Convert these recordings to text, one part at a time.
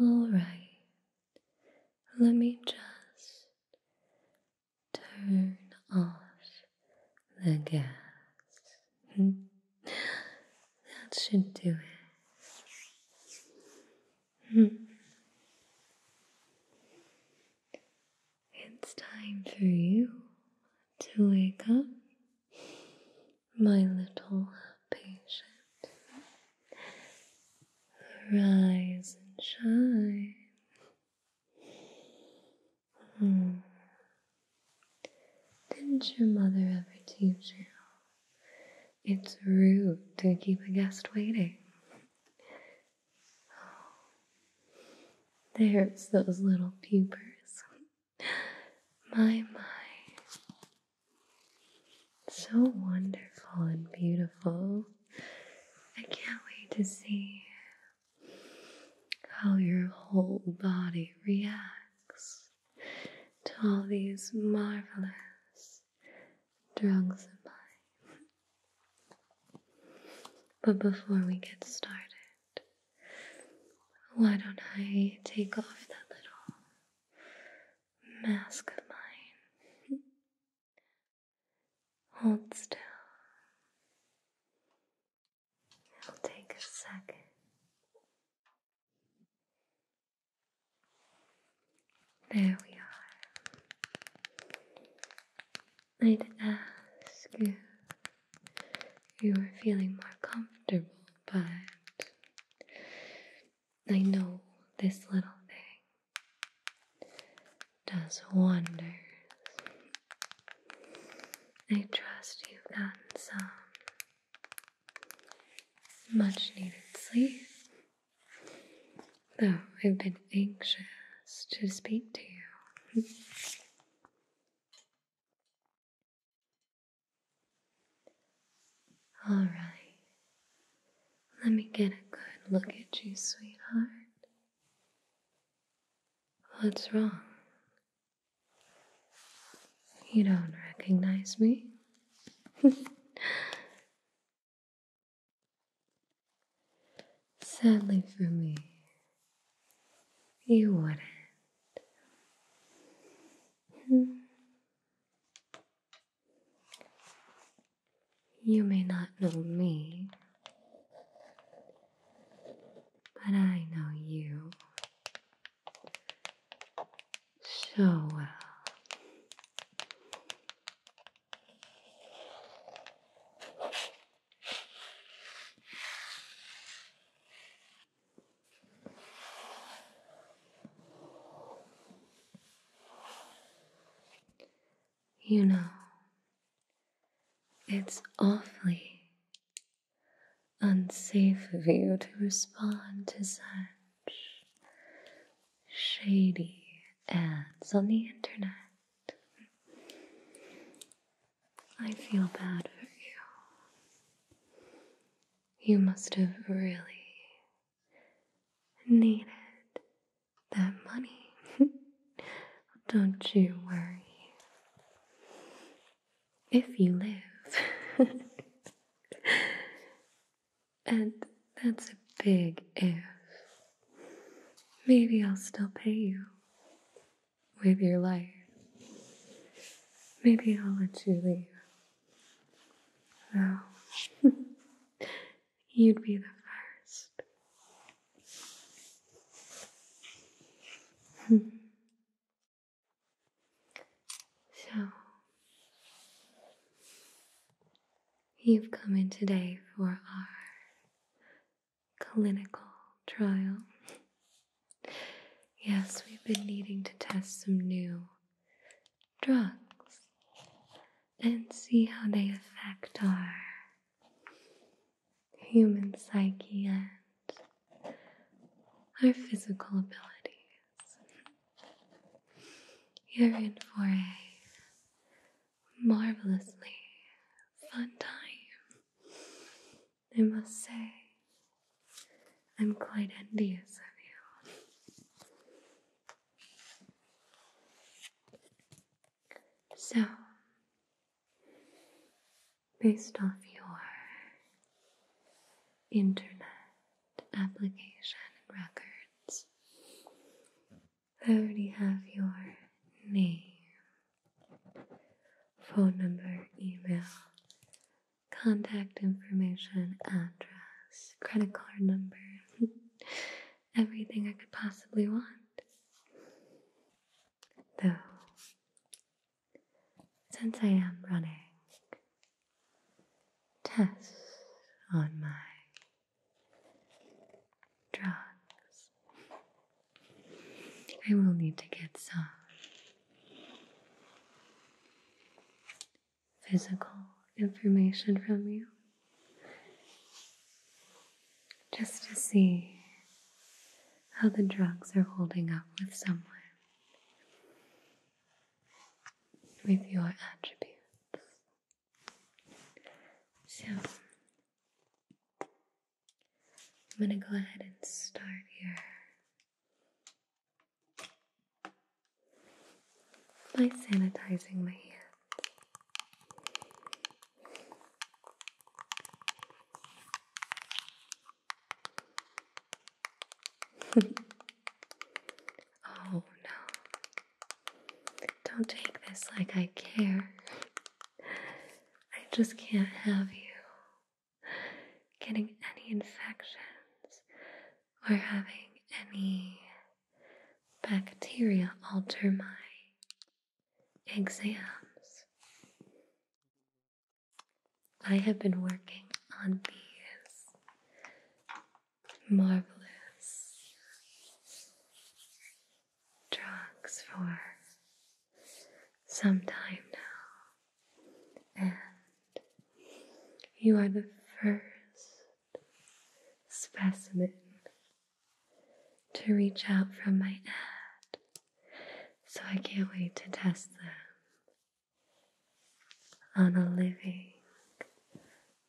All right, let me just turn off the gas. Hmm? That should do it. Hmm. It's time for you to wake up, my little patient. Rise and shine. Hmm. Didn't your mother ever teach you it's rude to keep a guest waiting. there's those little pupers. My, my. So wonderful and beautiful. I can't wait to see how your whole body reacts to all these marvelous drugs of mine. But before we get started, why don't I take off that little mask of mine? Hold still. It'll take a second. There we are. I'd ask if you were feeling more comfortable, but I know this little thing does wonders. I trust you've gotten some much needed sleep, though I've been anxious to speak to you. All right, let me get a good look at you, sweetheart. What's wrong? You don't recognize me? Sadly for me, you wouldn't. You may not know me, but I know you so well. Uh, you know, it's awfully unsafe of you to respond to such shady ads on the internet. I feel bad for you. You must have really needed that money. Don't you worry if you live. and that's a big if. Maybe I'll still pay you with your life. Maybe I'll let you leave. no. you'd be the first. Hmm. So, you've come in today for our clinical trial. Yes, we've been needing to test some new drugs and see how they affect our human psyche and our physical ability. You're in for a marvelously fun time. I must say, I'm quite envious of you. So, based off your internet application records. I already have your name, phone number, email, contact information, address, credit card number, everything I could possibly want. Though since I am running tests on my drugs, I will need to get some physical information from you just to see how the drugs are holding up with someone with your attributes. So, I'm going to go ahead and start here by sanitizing my hair. oh no. Don't take this like I care. I just can't have you getting any infections or having any bacteria alter my exams. I have been working on these marvelous drugs for some time now, and you are the first specimen to reach out from my ad. So I can't wait to test them on a living,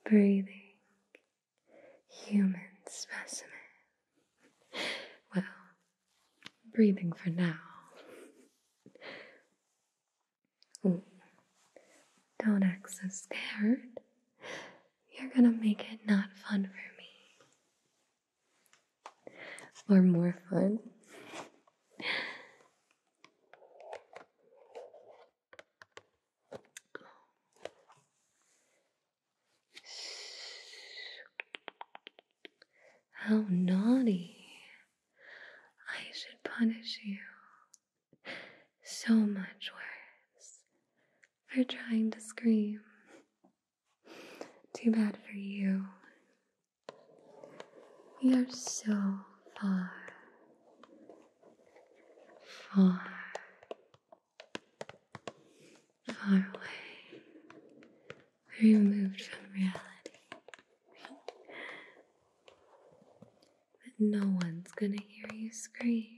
breathing human specimen. Well, breathing for now. don't act so scared. You're gonna make it not fun for me. Or more fun. How naughty. I should punish you so much worse for trying to scream. Too bad for you. We are so far, far, far away, removed from reality. But no one's gonna hear you scream.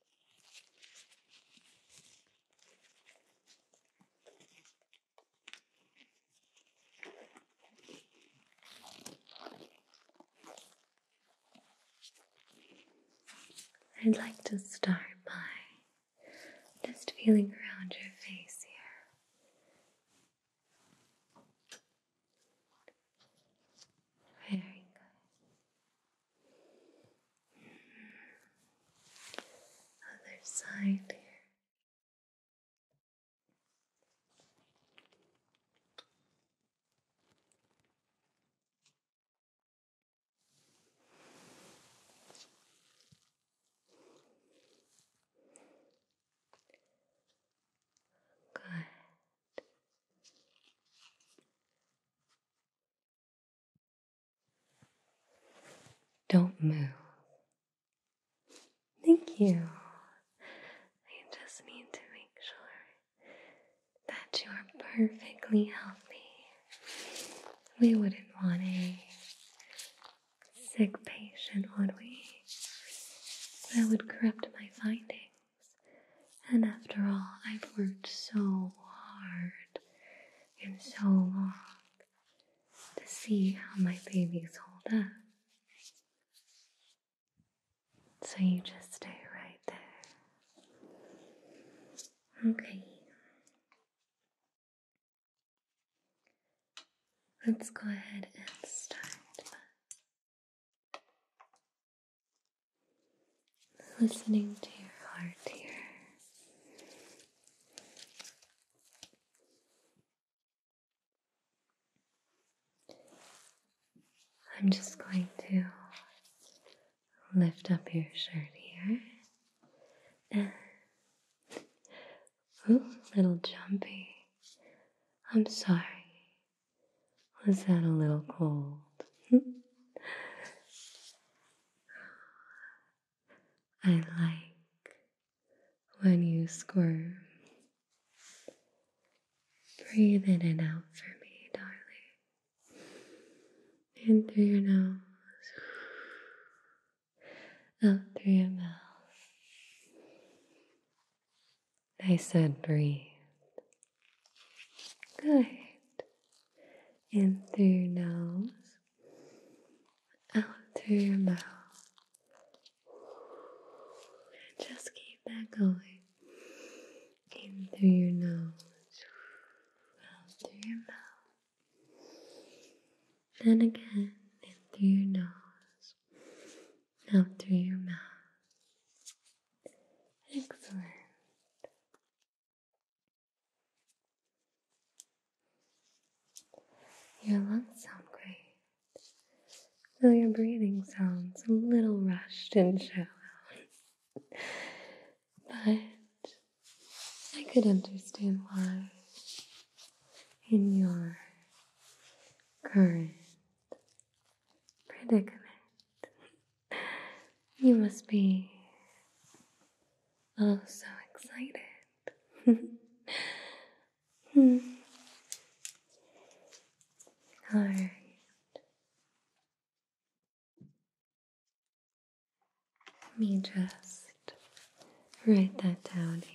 I'd like to start by just feeling around your face here. Very good. Other side here. Good. Don't move. Thank you. I just need to make sure that you are perfectly healthy. We wouldn't want a sick patient, would we? That would corrupt my findings. And after all, I've worked so hard and so long to see how my babies hold up. So you just stay right there. Okay. Let's go ahead and start Listening to your heart here. I'm just going to lift up your shirt here. And Ooh, little jumpy. I'm sorry. Was that a little cold? I like when you squirm. Breathe in and out for me, darling. In through your nose, out through your mouth. I said breathe. Good. In through your nose, out through your mouth. Just keep that going. In through your nose, out through your mouth. And again, in through your nose, out through your mouth. Excellent. Your lungs sound great, though your breathing sounds a little rushed and shallow. but I could understand why, in your current predicament, you must be oh so excited. All right. Let me just write that down here.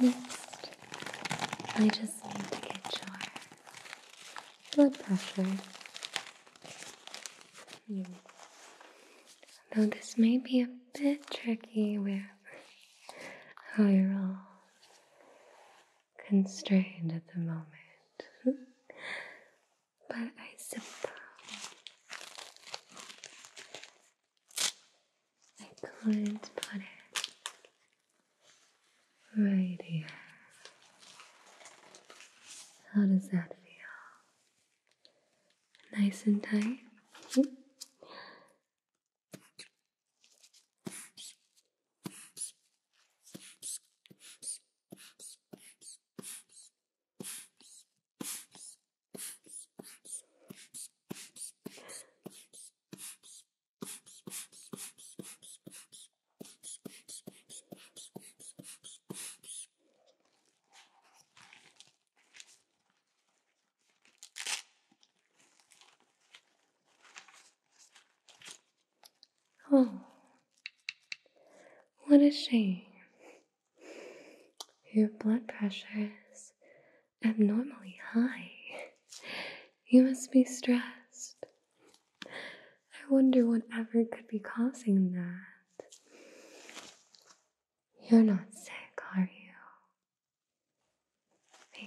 Next, I just need to get your blood pressure. Yeah. Hmm. Now this may be a bit tricky with how you're all constrained at the moment. but I suppose I couldn't put it right here. How does that feel? Nice and tight? Oh, what a shame. Your blood pressure is abnormally high. You must be stressed. I wonder what ever could be causing that. You're not sick, are you?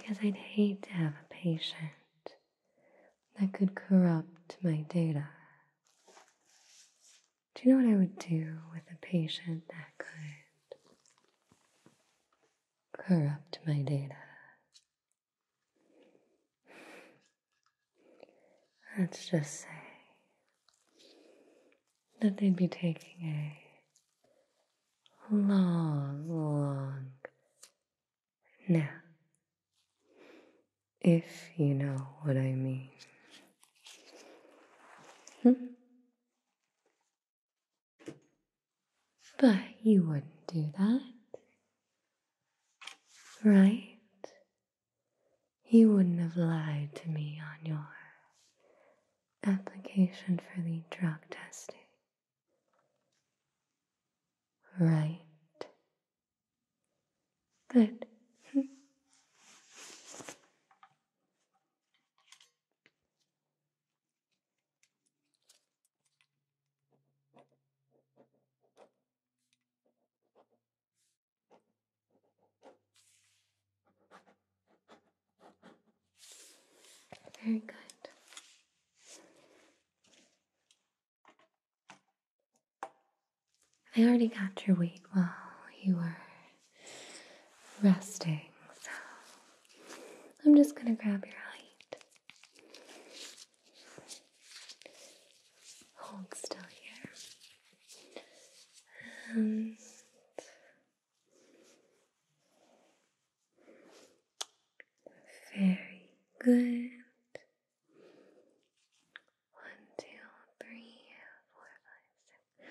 Because I'd hate to have a patient that could corrupt my data. Do you know what I would do with a patient that could corrupt my data? Let's just say that they'd be taking a long, long nap, if you know what I mean. Hmm? But you wouldn't do that, right? You wouldn't have lied to me on your application for the drug testing, right? But. Very good. I already got your weight while you were resting. So I'm just going to grab your hand. Hold still here. And very good. One, two, three, four, five, six,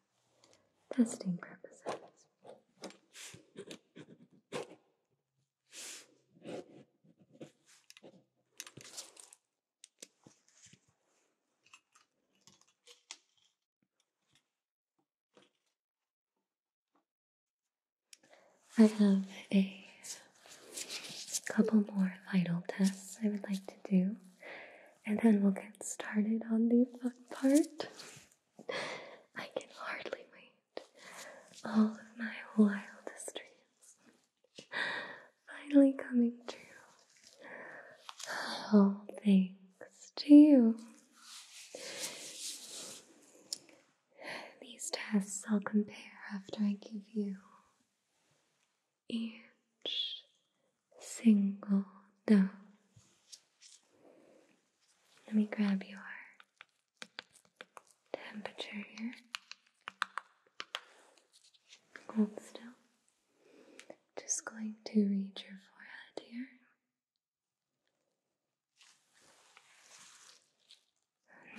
testing purposes. I have a couple more vital tests I would like to do and then we'll get started on the fun part. I can hardly wait. All of my wildest dreams finally coming true. All thanks to you. These tests I'll compare after I give you each single note. Let me grab your temperature here. Hold still. Just going to read your forehead here.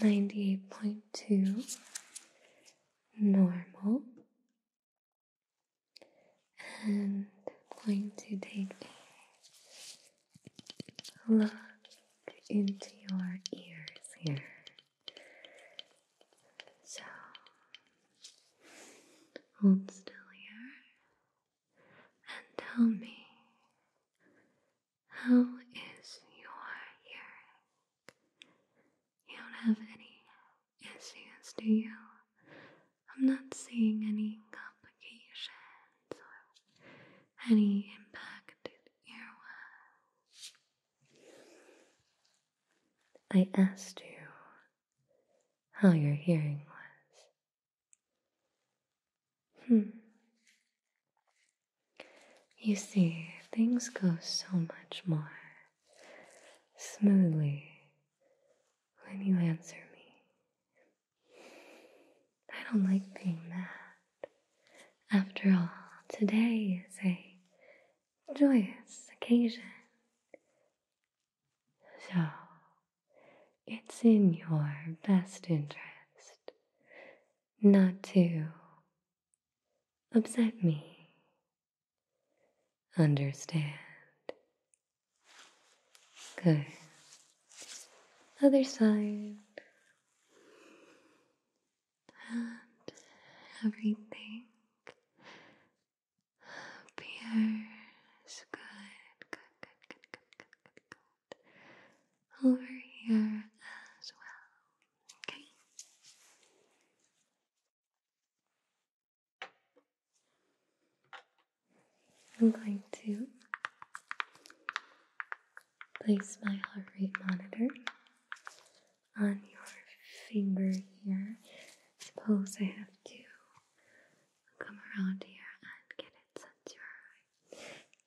Ninety eight point two normal and I'm going to take a look into your ears here. So hold still here and tell me how is your hearing? You don't have any Yes, yes, do you? I'm not seeing any complications or any impacted earwax. I asked you how your hearing was. Hmm. You see, things go so much more smoothly when you answer me, I don't like being mad. After all, today is a joyous occasion. So, it's in your best interest not to upset me Understand. Good. Other side. And everything appears good. Good, good, good, good, good, good, good. Over here as well. Okay. I'm going to place my heart rate monitor on your finger here. Suppose I have to come around here and get it set your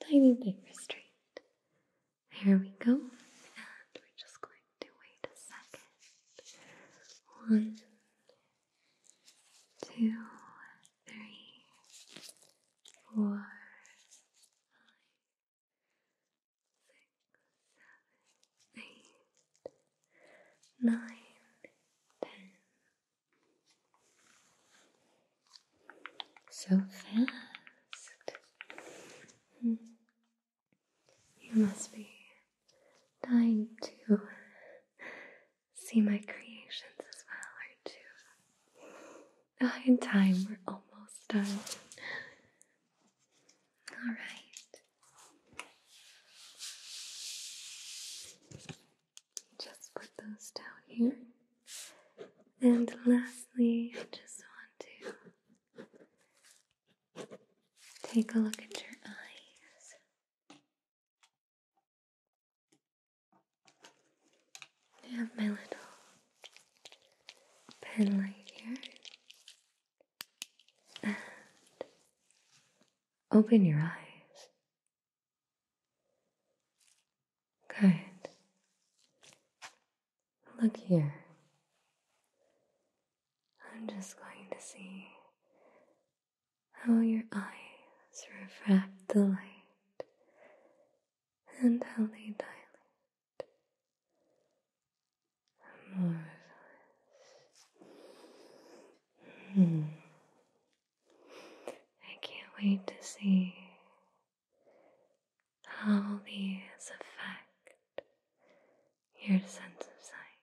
tiny finger straight. Here we go. And we're just going to wait a second. One, two, three, four, five, six, seven, eight, nine, ten. So fast. Hmm. You must be dying to see my creations as well, aren't you? Oh, in time, we're almost done. All right. Just put those down here. And lastly, I just want to take a look at your eyes. I have my little pen here. open your eyes. Good. Look here. I'm just going to see how your eyes refract the light and how they dilate. More hmm. I can't wait to see how these affect your sense of sight.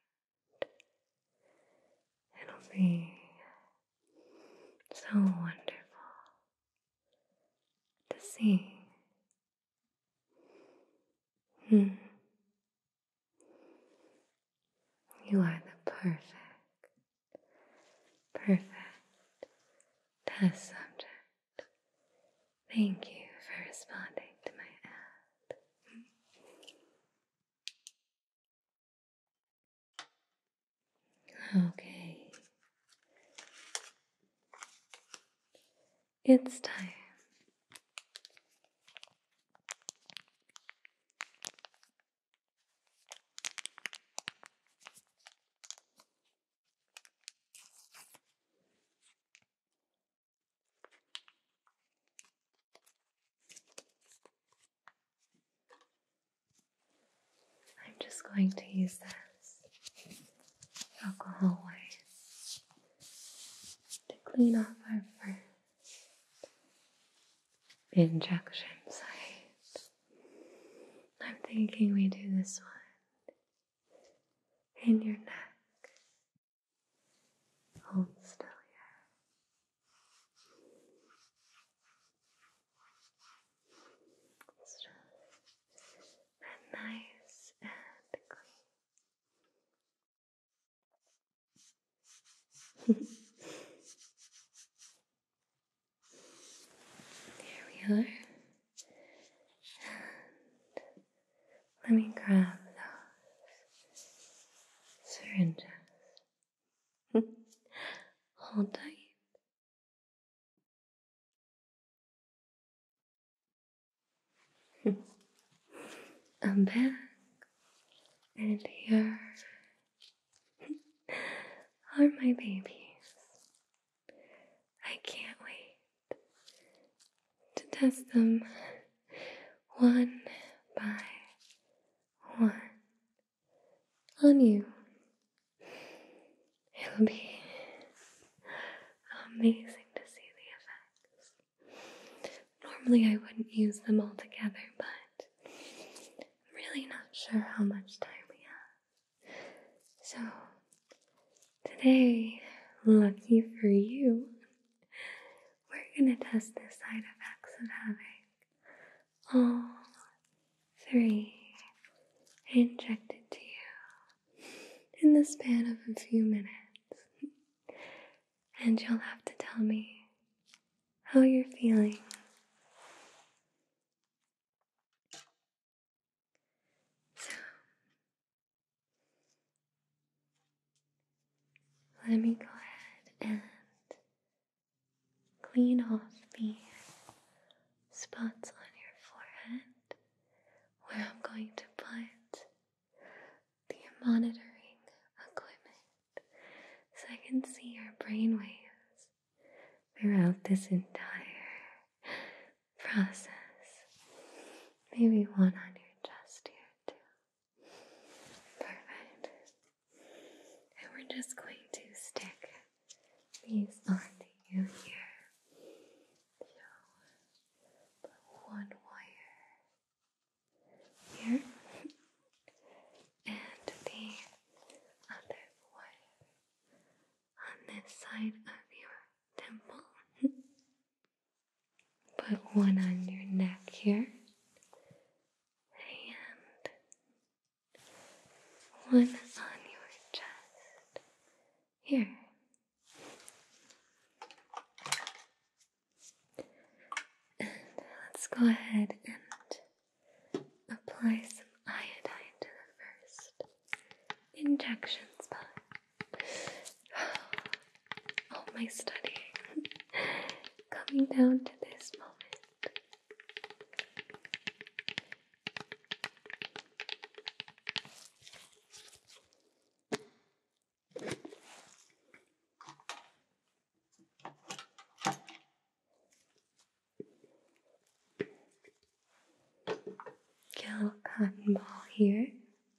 It'll be so wonderful to see. Hmm. You are the perfect, perfect test subject. Thank you for responding to my ad. Okay. It's time. I'm just going to use this alcohol wipe to clean off our first injection site. I'm thinking we do this one in your neck. Hold still here. Still nice and clean. Here we are. Let me grab those syringes. Hold tight. I'm back and here are my babies. I can't wait to test them one by one on you. It'll be amazing to see the effects. Normally, I wouldn't use them all together, but I'm really not sure how much time we have. So, today, lucky for you, we're going to test the side effects of having all three injected to you in the span of a few minutes. And you'll have to tell me how you're feeling. Let me go ahead and clean off the spots on your forehead where I'm going to put the monitoring equipment so I can see your brain waves throughout this entire process. Maybe one on your chest here too. Perfect. And we're just going to stick these onto you here. So, one wire here, and the other wire on this side of your temple. Put one on your neck here, and one on your chest here. And let's go ahead and apply some iodine to the first injection spot all my studying coming down to this moment. Get a cotton ball here.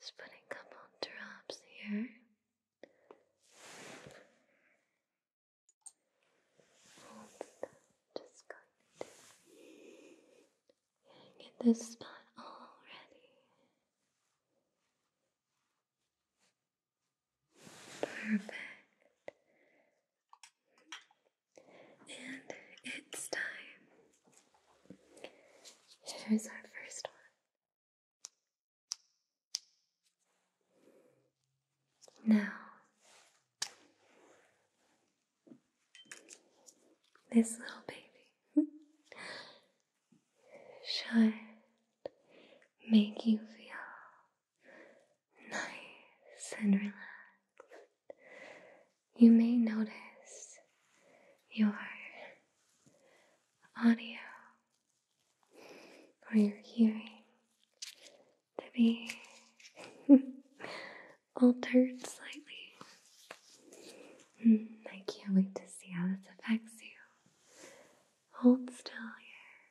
Just putting a couple drops here just going to get this spot all ready. Perfect. And it's time. Here's our first one. Now, this little baby should make you feel nice and relaxed. You may notice your audio or your hearing to be altered slightly. Hmm, I can't wait to see how this affects you. Hold still here.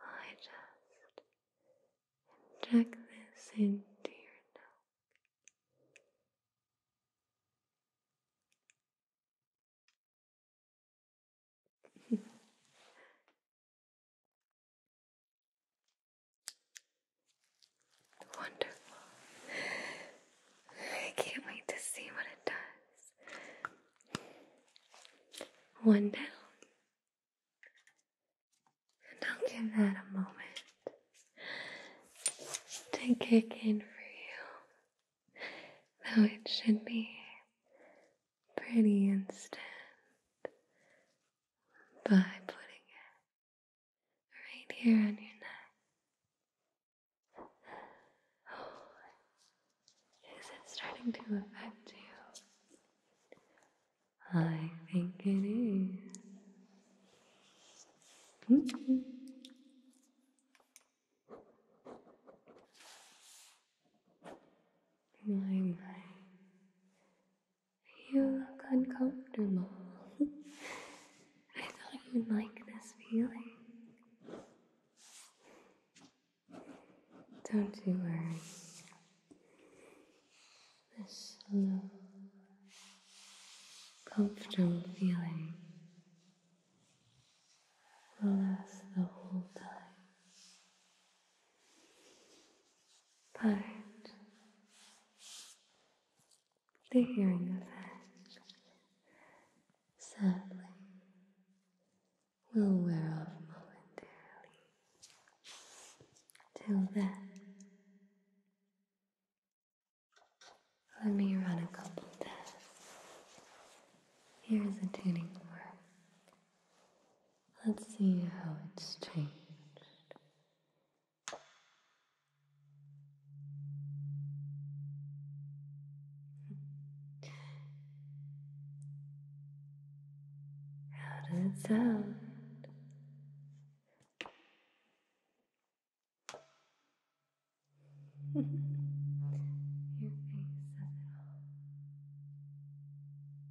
I just inject this into your neck. Wonderful. I can't wait to see what it does. One down. And I'll give that a moment to kick in for you. Though it should be pretty instant by putting it right here on your neck. Oh, is it starting to affect you? I think it is. Mm-hmm. My, my. You look uncomfortable. I thought you'd like this feeling. Don't you worry. This slow, comfortable feeling will last the whole time but the hearing effect sadly will wear off momentarily. Till then, let me run a couple tests. Here's a tuning fork. Let's see how it's changed. How does it sound? Your face says it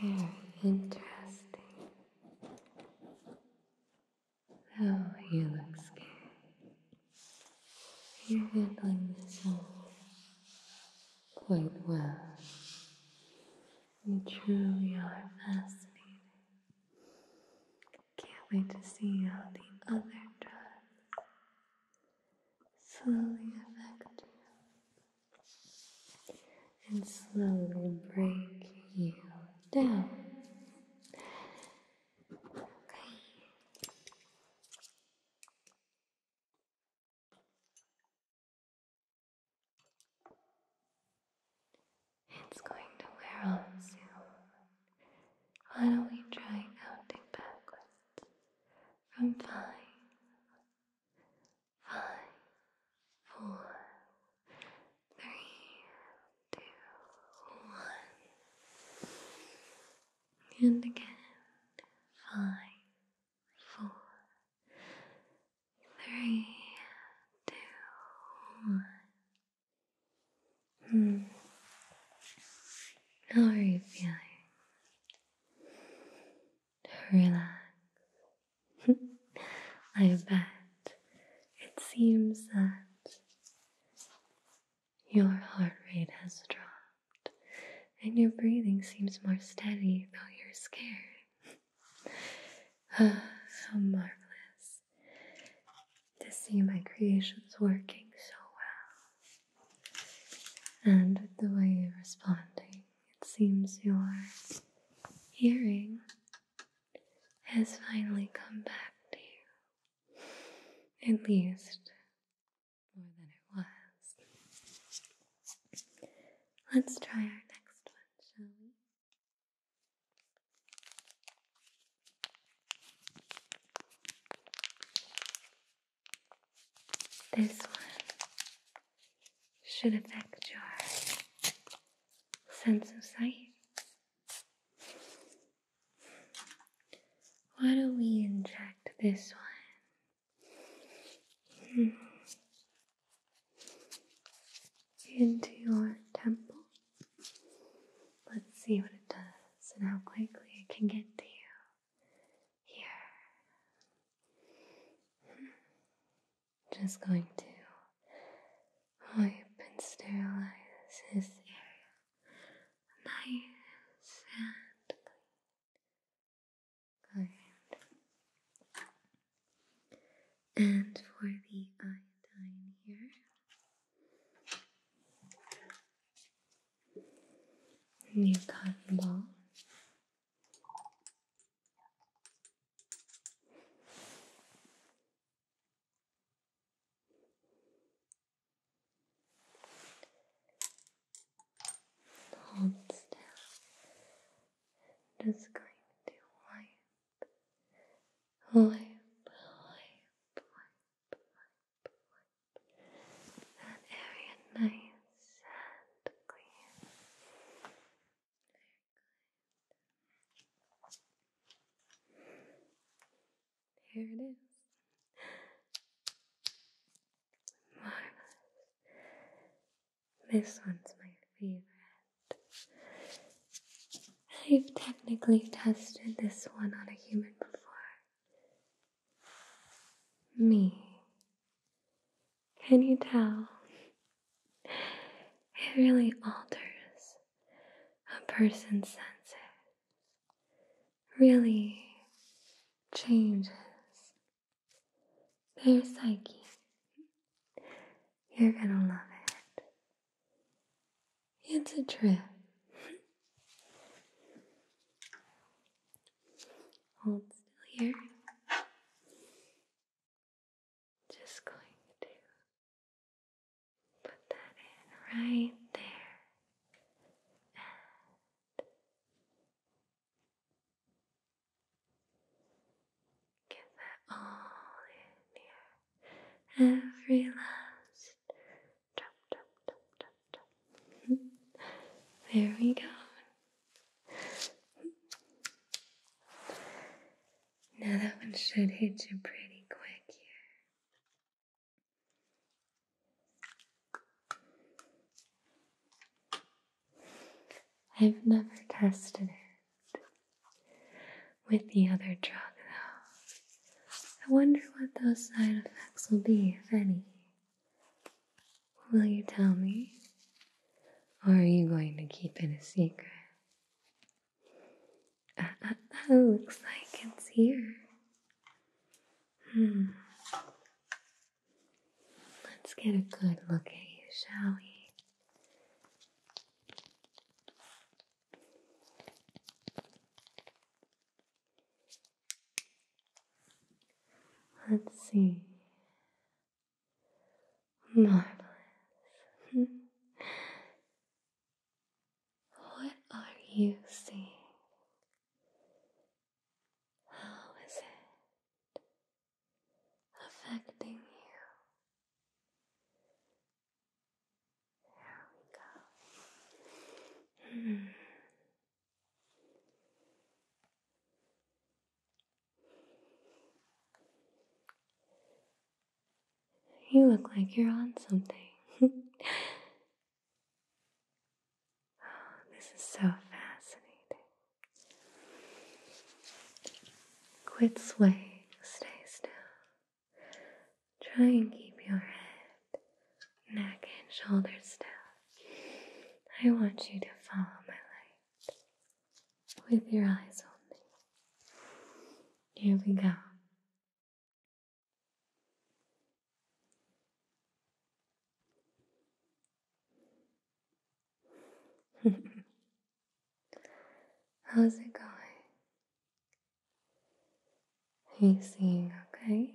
Very interesting. Oh, you look scared. You're handling this quite well. You truly are fascinating. Can't wait to see how the other drugs slowly affect you and slowly break you down. Okay. It's going to wear off soon. Why don't we try counting backwards from five five, four, three, two, one. And again, five, four, three, two, one. Hmm. How are you feeling? relax. I bet it seems that your heart rate has dropped and your breathing seems more steady, though you're scared. how marvelous to see my creations working so well. And the way you're responding it seems your hearing has finally come back to you. At least more than it was. Let's try our next one, shall This one should affect your sense of sight. Why don't we inject this one into your temple? Let's see what it does and how quickly it can get to you. Here just going to wipe and sterilize this area nice and clean. And for the iodine here, new cotton ball. Hold still. just going to wipe, wipe, wipe, wipe, wipe that area nice and clean. There it is. Marvelous. This one's my favorite. I've technically tested this one on a human before. Me. Can you tell? It really alters a person's senses, really changes their psyche. You're gonna love it. It's a trip. Hold still here. Just going to put that in right there. And get that all in here. Every last there we go. Now that one should hit you pretty quick here. I've never tested it with the other drug though. I wonder what those side effects will be, if any. Will you tell me? Or are you going to keep it a secret? Uh, uh, oh, looks like it's here. Hmm. Let's get a good look at you, shall we? Let's see. Marvelous. Hmm. what are you seeing? How is it affecting you? There we go. Hmm. You look like you're on something. oh, this is so fascinating. Quit swaying, stay still. Try and keep your head, neck, and shoulders still. I want you to follow my light with your eyes only. Here we go. How's it going? Are you seeing okay?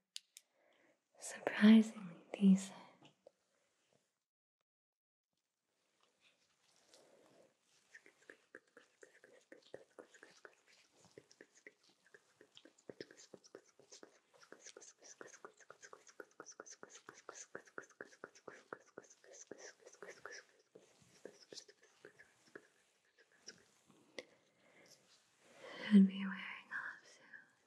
surprisingly decent. Should be wearing off soon.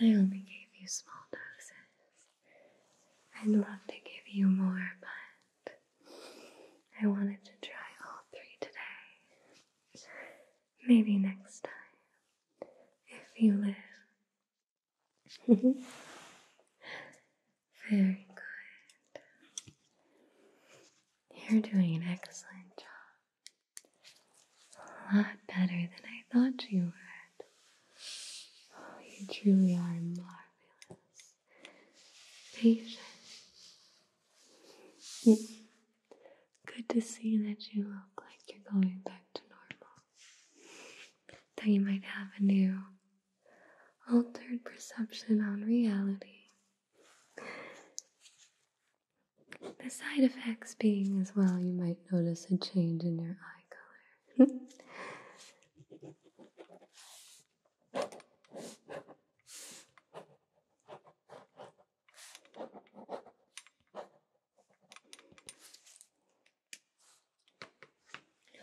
I only gave you small doses. I'd love to give you more, but I wanted to try all three today. Maybe next time, if you live. Very good. You're doing an excellent job. A lot better than I thought you would. Oh, you truly are marvelous. Patient. Good to see that you look like you're going back to normal. That you might have a new, altered perception on reality. The side effects being as well, you might notice a change in your eye color.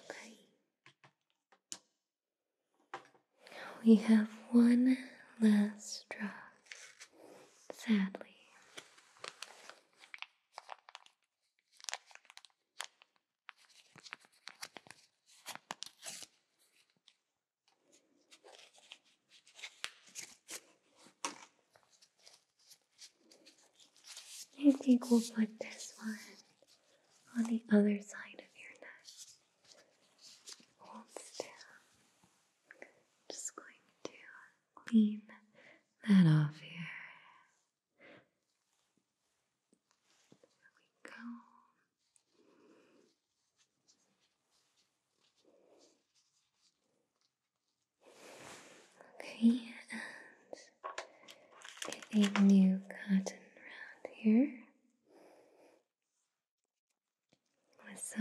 Okay. We have one last drop sadly. I think we'll put this one on the other side of your neck. Just going to clean that off here. There we go. Okay, and get a new cotton round here. Let's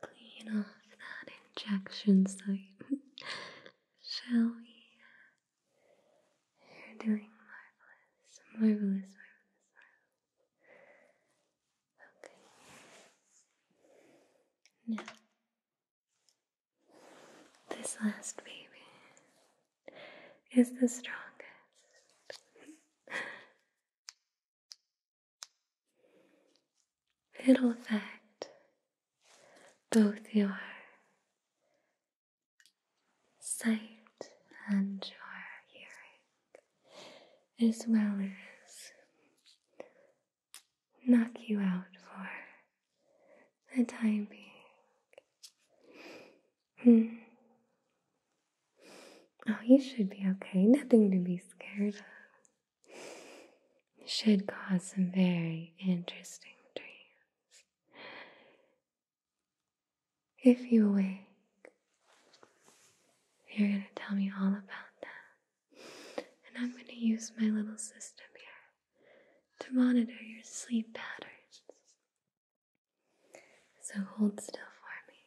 Clean off that injection site, shall we? You're doing marvelous, marvelous, marvelous, marvelous. Okay. Now, this last baby is the strongest. It'll affect both your sight and your hearing, as well as knock you out for the time being. Hmm. Oh, you should be okay. Nothing to be scared of. Should cause some very interesting dreams. If you wake, you're going to tell me all about that. And I'm going to use my little system here to monitor your sleep patterns. So hold still for me.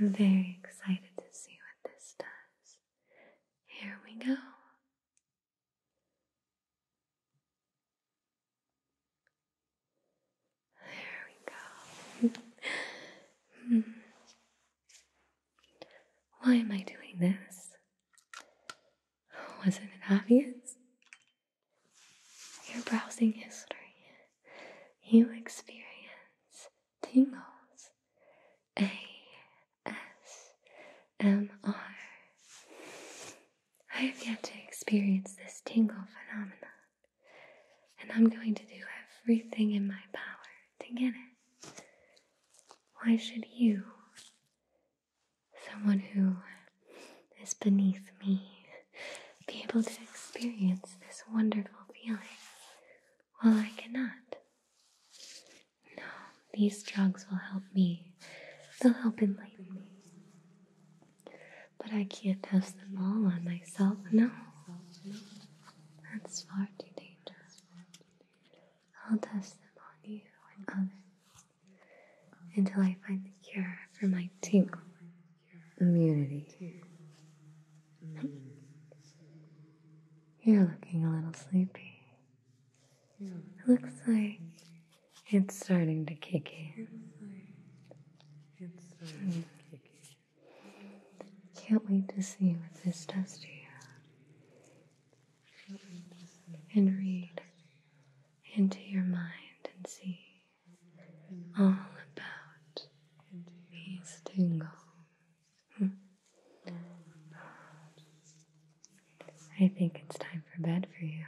I'm very excited to see what this does. Here we go. There we go. Hmm. Why am I doing this? Wasn't it obvious? Your browsing history. You experience tingles. A S M R. I have yet to experience this tingle phenomenon, and I'm going to do everything in my power to get it. Why should you, someone who is beneath me, be able to experience this wonderful feeling while I cannot? No, these drugs will help me, they'll help enlighten me. But I can't test them all on myself. No, that's far too dangerous. I'll test them on you and others until I find the cure for my tingle immunity. You're looking a little sleepy. It looks like it's starting to kick in. It's starting to kick in. Can't wait to see what this does to you. And read into your mind and see all about these tingles. Hmm. I think it's time for bed for you.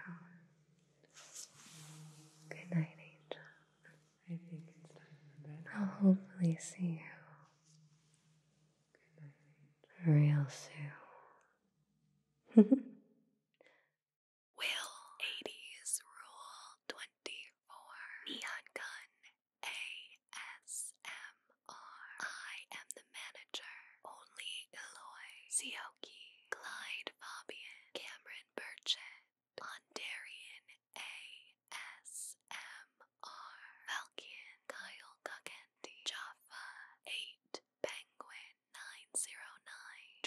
Good night, Angel. I think it's time for bed. I'll hopefully see you real soon. Will 80s Rule 24 Neon Gun ASMR. am the manager. Only Eloy. CO Yogi, Clyde Fabian, Cameron Burchett, Ondarian ASMR, Falcon, Kyle Guckendi, Jaffa 8, Penguin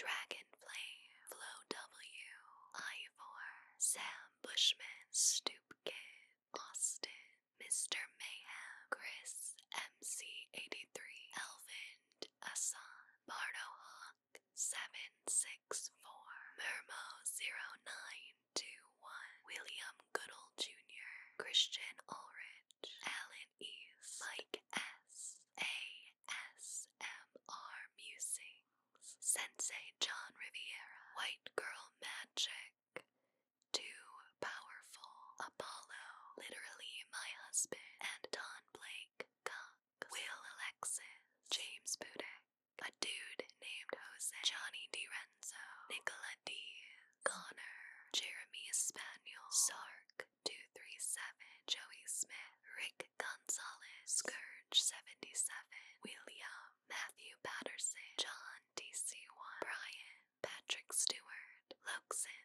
909, Dragon Flame, Flo W, Ivor, Sam Bushman, Stoop Kid, Austin, Mr. Mayhem, Chris MC83, Elvind, Asan, Bardo Hawk seven six four, Mermo zero nine two one, William Goodall Jr., Christian Ulrich, Alan East, Mike S, A S M R Musings, Sensei John Riviera, White Girl Magic, Too Powerful, Apollo, literally my husband, and Don Blake. Cup. Will Alexis, James Budek, a dude named Jose, Johnny DiRenzo, Nicola D. Connor, Jeremy Spaniel, Sark237, Joey Smith, Rick Gonzalez, Scourge77, William, Matthew Patterson, John DC1, Brian, Patrick Stewart, Luxon.